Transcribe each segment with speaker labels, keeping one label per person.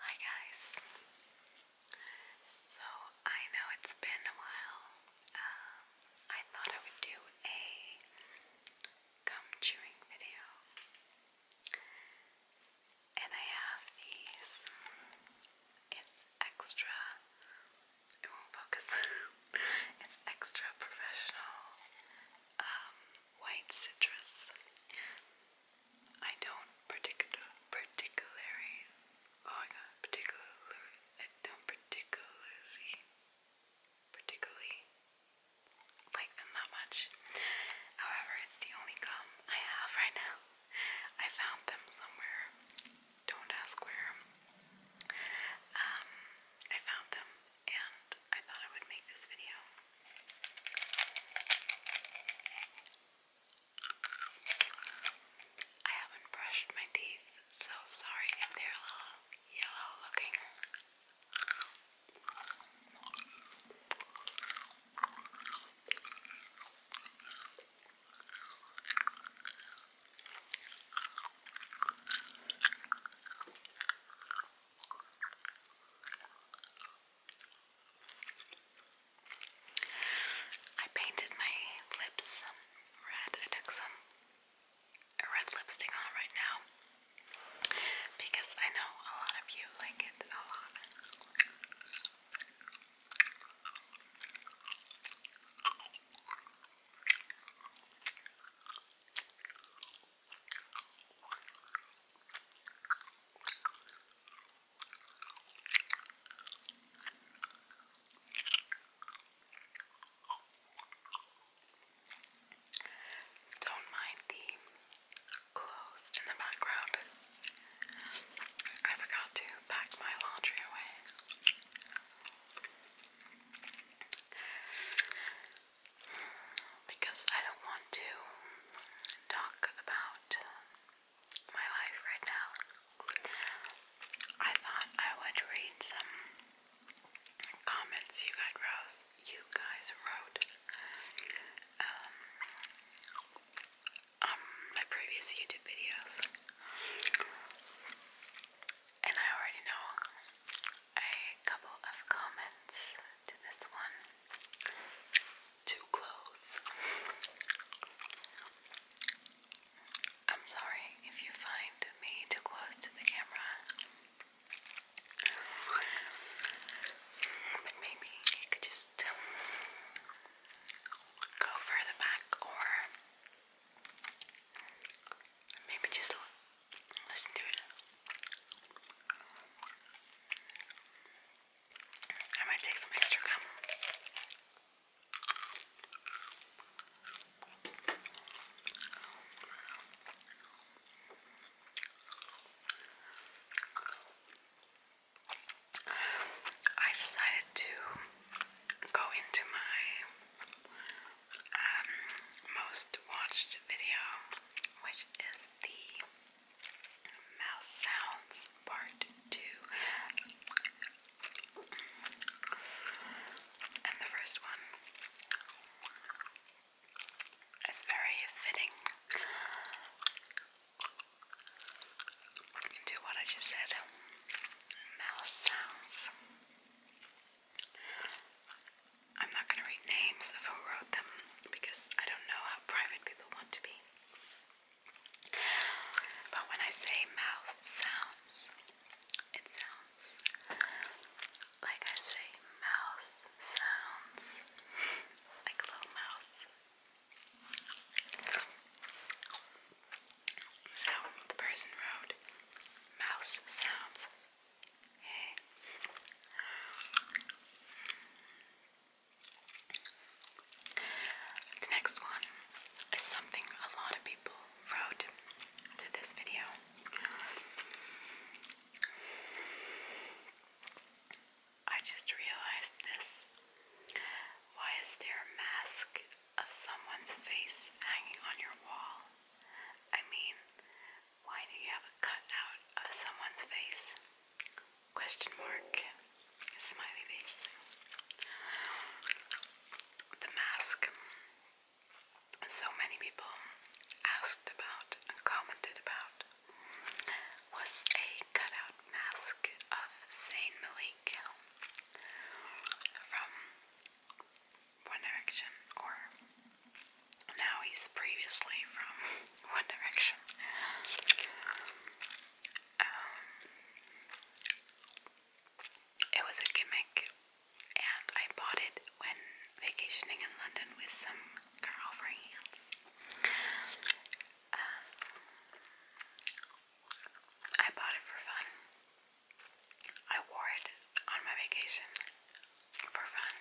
Speaker 1: Hi guys. So I know it's been a while. Um, I thought I would do a gum chewing video, and I have these. It's extra. It won't focus. it's extra professional. Um, white citrus. I don't particular particularly oh I got particularly I don't particularly particularly like them that much. However, it's the only gum I have right now. I found them somewhere. Don't ask where. Um, I found them and I thought I would make this video. I haven't brushed my teeth, so sorry if they're a little yellow looking. I painted my lips um, red. I took some red lipstick on right now because I know a lot of you like it a lot. Don't mind the clothes in the background. I forgot to pack my laundry away because I don't want to talk about my life right now. I thought I would read some comments you guys wrote. You guys wrote um, my previous YouTube videos, and I already know a couple of comments to this one. Too close. I'm sorry if you find me too close to the camera. But maybe it could just um, go further back or maybe just Listen to it. I might take some extra gum. I decided to go into my um, most watched video, which is the mouse sounds part two. And the first one is very fitting to what I just said mouse sounds. I'm not gonna read names of who wrote them because I don't know how private people want to be. But when I say mouth sounds, it sounds like I say mouse sounds, like little mouse. So the person wrote mouse sounds the next one is something a lot of people wrote to this video. I just realized this. Why is there a mask of someone's face hanging on your wall? I mean, why do you have a cutout of someone's face? Question mark. Smiley face. The mask. So many people asked about and commented about was a cutout mask of Saint Malik from One Direction or now he's previously from One Direction. Um, it was a gimmick, and I bought it when vacationing in London with some girlfriends. Um, I bought it for fun. I wore it on my vacation for fun.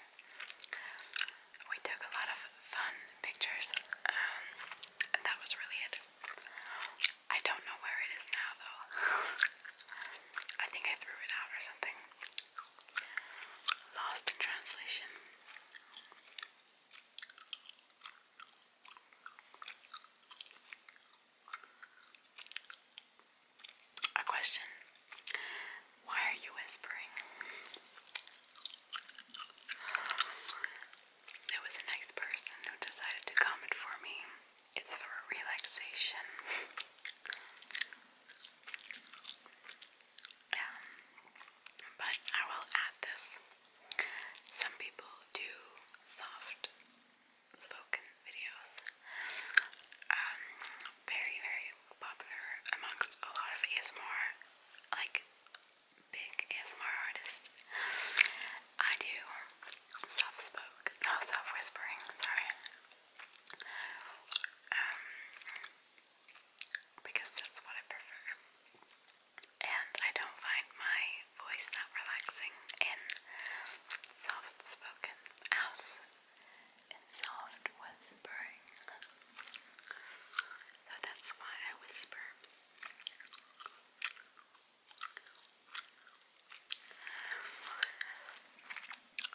Speaker 1: We took a lot of fun pictures. and um, that was really it. I don't know where it is now though. I think I threw it out or something. Lost in translation. A question why are you whispering? There was a nice person who decided to comment for me. It's for relaxation. Um, but I will add this. Some people do soft spoken videos. Um, very, very popular amongst a lot of ASMR, like big ASMR artists. I do soft spoke, no soft whispering, sorry. Um, because that's what I prefer. And I don't find my voice that relaxing in soft spoken as and soft whispering. So that's why I whisper.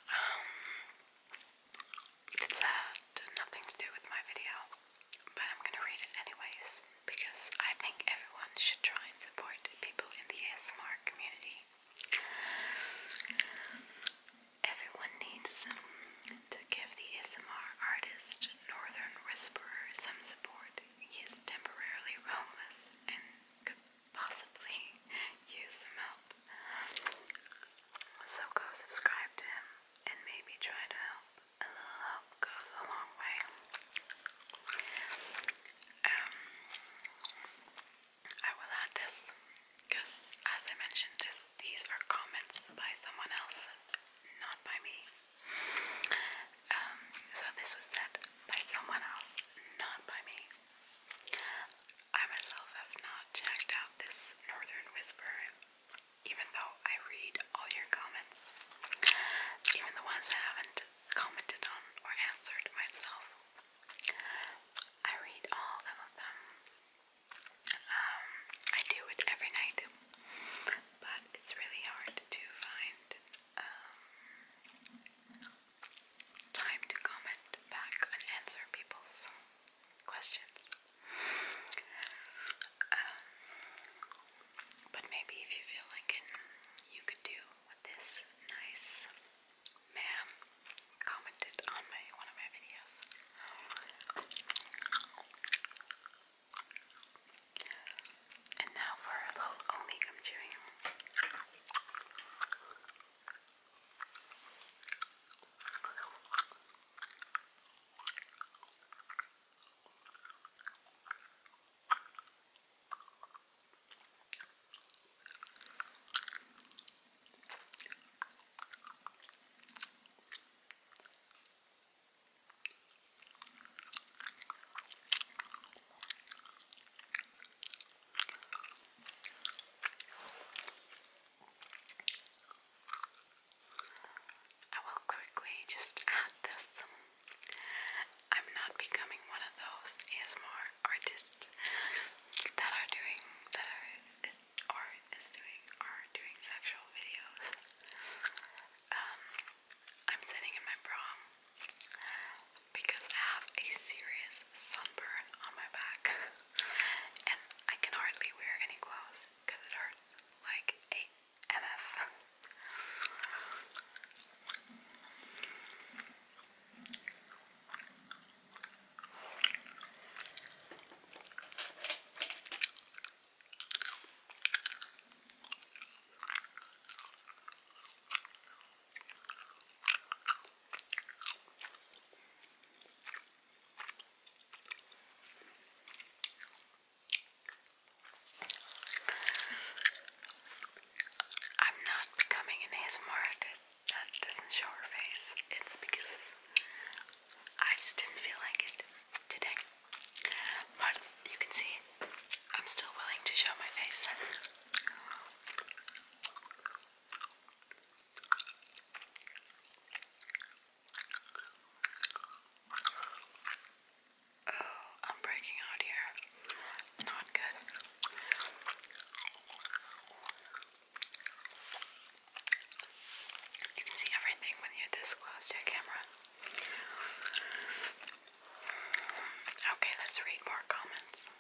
Speaker 1: Um, it's had uh, nothing to do with my video, but I'm gonna read it anyways because I think everyone should try and support people in the ASMR community. Everyone needs them to give the ASMR artist Northern Whisperer some support. He temporarily homeless and could possibly use some help. So go subscribe to him and maybe try to help. A little help goes a long way. Um, I will add this because as I mentioned, this, these are comments by someone else, not by me. Um, so this was said by someone else, not by me. I myself have not checked out this Northern Whisper, even though I read all your comments, even the ones I haven't commented on or answered myself. I read all of them. Um, I do it every night, but it's really hard to find um, time to comment back and answer people's questions. Um, but maybe if you feel like it, you could do this nice man commented on my one of my videos. And now for a little only I'm chewing. I will quickly just add this. I'm not becoming one of those ASMR artists that are doing that are or is doing are doing sexual videos. Um, I'm sitting in my bra because I have a serious sunburn on my back, and I can hardly wear any clothes because it hurts like a mf. I'm not becoming an ASMR that doesn't show her face. It's because I just didn't feel like it today. But you can see I'm still willing to show my face. Oh, I'm breaking out here. Not good. You can see everything when you're this close to a camera. Okay, let's read more comments.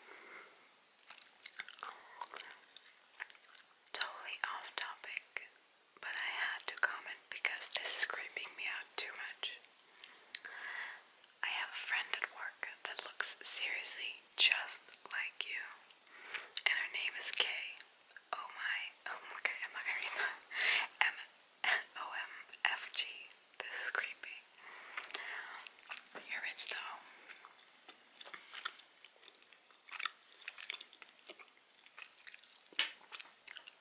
Speaker 1: Totally off topic, but I had to comment because this is creeping me out too much. I have a friend at work that looks seriously just like you and her name is Kay. Oh my, oh okay, I'm not gonna read that. M O M F G. This is creepy. You're rich though.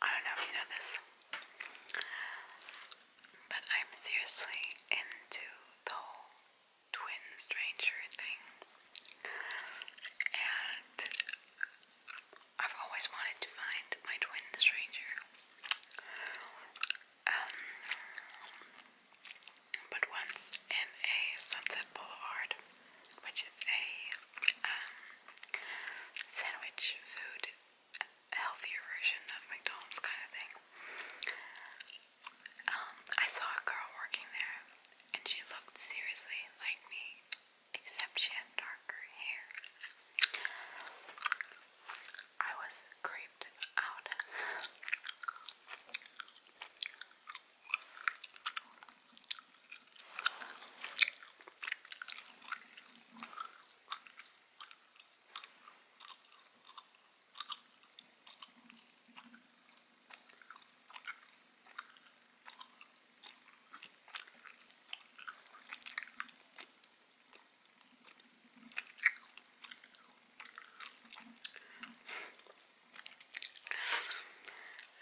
Speaker 1: I don't know if you know this, but I'm seriously into the whole twin Stranger thing, and I've always wanted to find my twin Stranger. Um, but once in a Sunset Boulevard, which is a um, sandwich food, healthier version of McDonald's kind of thing. Um, I saw a girl working there and she looked seriously like me, except she had darker hair. I was creeped out.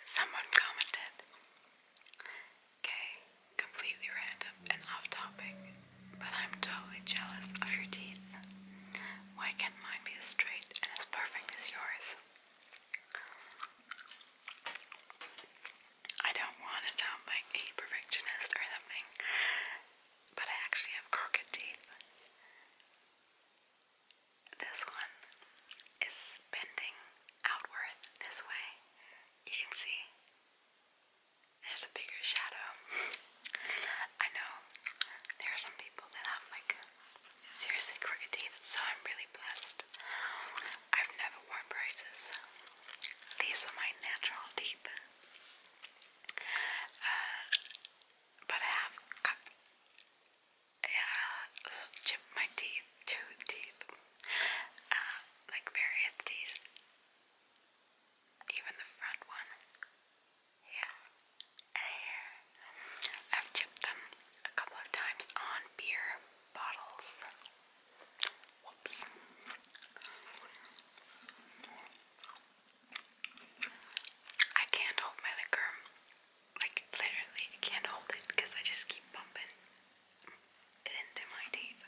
Speaker 1: Someone commented, okay, completely random and off topic, but I'm totally jealous of your teeth. Why can't mine be as straight and as perfect as yours? I don't want to sound like a perfectionist or something, but I actually have crooked teeth. This one is bending outwards this way. You can see there's a bigger shadow. I know there are some people that like Seriously, Crooked Teeth, so I'm really blessed. I've never worn braces. These are my natural teeth. Uh, but I have chipped my teeth, two teeth, uh, like various teeth. Even the front one. Yeah. I've chipped them a couple of times on beer bottles. Whoops. I can't hold my liquor. Like, literally, I can't hold it because I just keep bumping it into my teeth.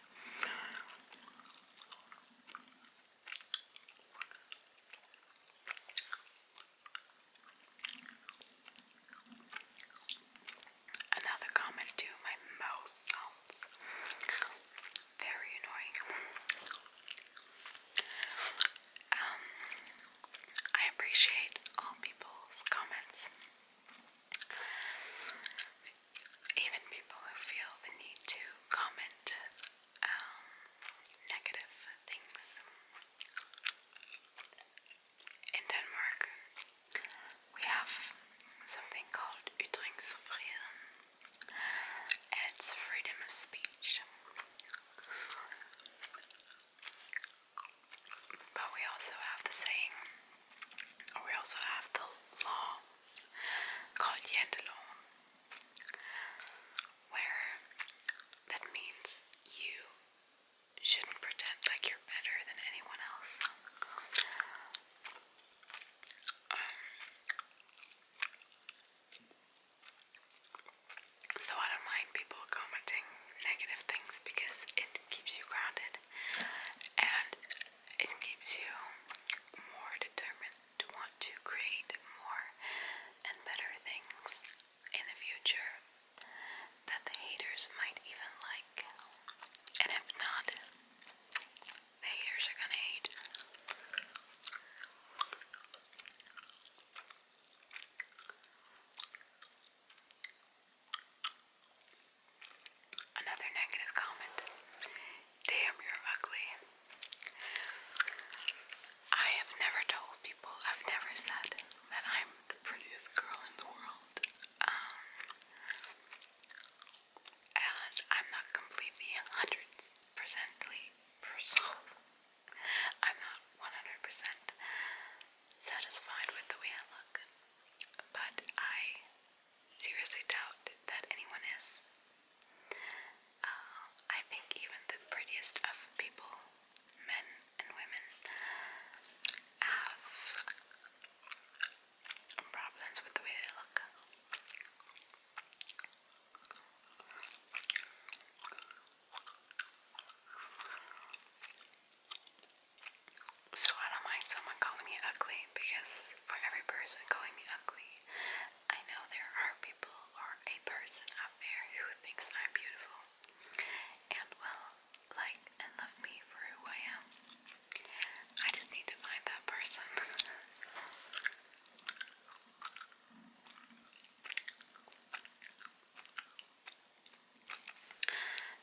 Speaker 1: Another comment too, my mouth sounds very annoying. Um, I appreciate all people's comments. Even people who feel the need to comment um, negative things in Denmark we have something called Ytringsfrieden and it's freedom of speech. But we also have the saying, we also have the law called Janteloven, where that means you shouldn't pretend like you're better than anyone else. Um, so I don't mind people commenting negative things because it keeps you grounded and it keeps you more determined to want to create more and better things in the future that the haters might even like. And if not, haters are gonna hate. Another negative comment. Damn, you're ugly. I have never told people, I've never said that I'm the prettiest girl in the world. Um, and I'm not completely 100% I'm not 100% satisfied with the way I look, but I seriously doubt that anyone is. Uh, I think even the prettiest of people men and women have problems with the way they look. So I don't mind someone calling me ugly because for every person calling me ugly, I know there are people or a person out there who thinks I'm beautiful and will like and love me for who I am. I just need to find that person.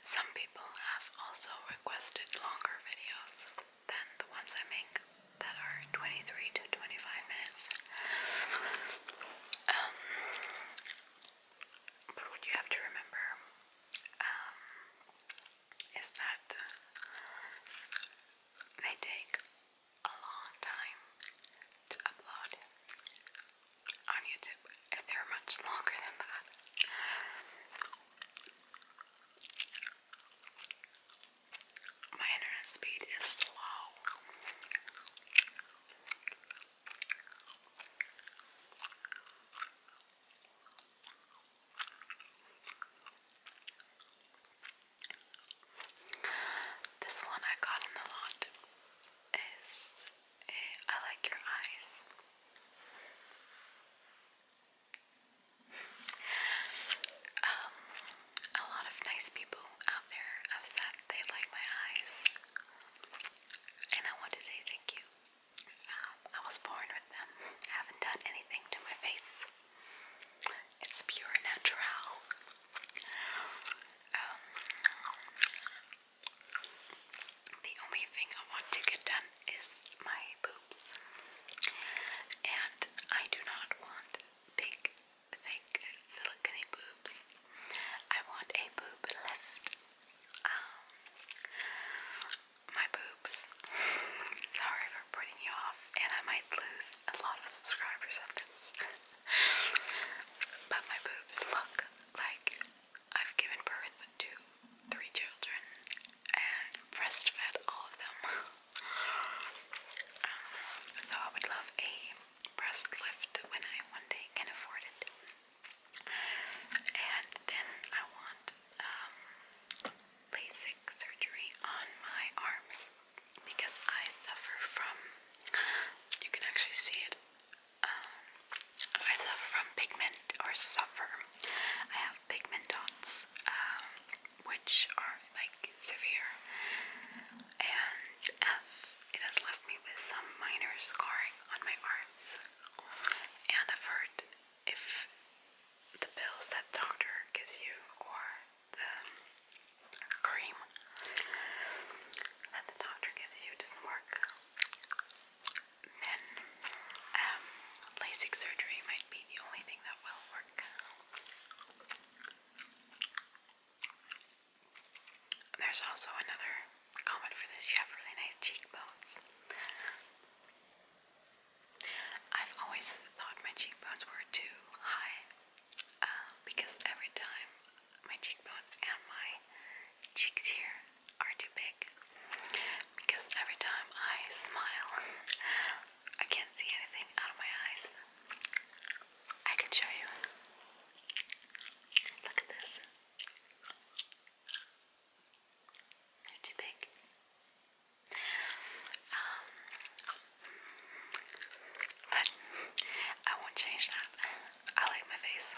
Speaker 1: Some people have also requested longer videos than the ones I make that are 23 to 25 minutes. Um, but what you have to remember um, is that they take a long time to upload on YouTube, and they're much longer than that. My internet speed is slow. This one I got in the lot is a, eh, I like your eyes. um, a lot of nice people out there have said they like my eyes and I want to say thank you. Um, I was born with them. I haven't done anything to my face. It's pure natural. Um, the only thing I want to get done is my boobs, and I do not want big, fake, silicone boobs. I want a boob lift. Um, my boobs. Sorry for putting you off, and I might lose a lot of subscribers on this. but my boobs look like I've given birth to three children and breastfed all of them. Um, so I would love a breast lift when I one day can afford it. And then I want um, LASIK surgery on my arms because I suffer from, you can actually see it, um, I suffer from pigment or suffer. I have pigment dots, um, which are like severe and have it has left me with some minor scarring on my arms, and I've heard if the pills that the doctor gives you or the cream that the doctor gives you doesn't work, then um, surgery might be the only thing that will work. There's also another comment for this. You have really nice cheekbones. I've always thought my cheekbones were too high uh, because every time my cheekbones and my cheeks here are too big. Because every time I smile, I can't see anything out of my eyes. I can show you. Look at this. They're too big. Um, but I won't change that. I like my face.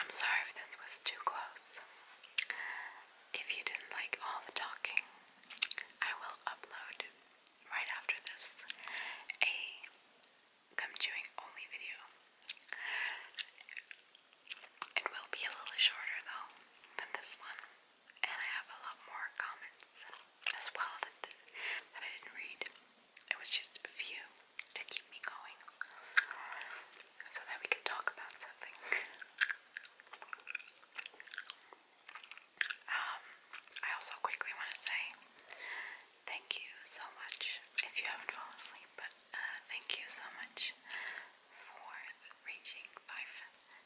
Speaker 1: I'm sorry if this was too close. If you didn't like all the talking, I will upload right after this a gum chewing only video. It will be a little shorter though than this one, and I have a lot more comments as well that I didn't read. It was just a few to keep me going so that we could talk about something. um, I also quickly want to say thank you so much if you haven't fallen asleep, but uh, thank you so much for reaching five,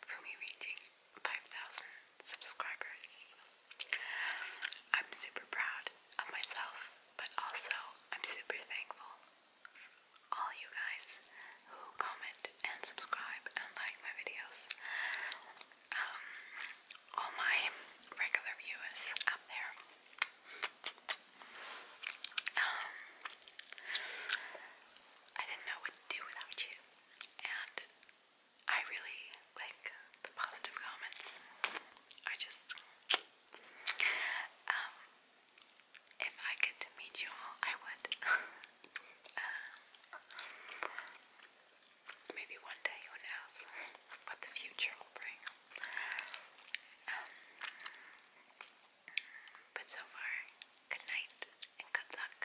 Speaker 1: for me reaching 5,000 subscribers. I'm super proud of myself, but also I'm super thankful for all you guys who comment and subscribe and like my videos. Um, all my regular viewers out there. Um, I didn't know what to do without you, and I really like the positive comments are just um, if I could meet you all I would um, maybe one day who knows what the future will bring um, but so far good night and good luck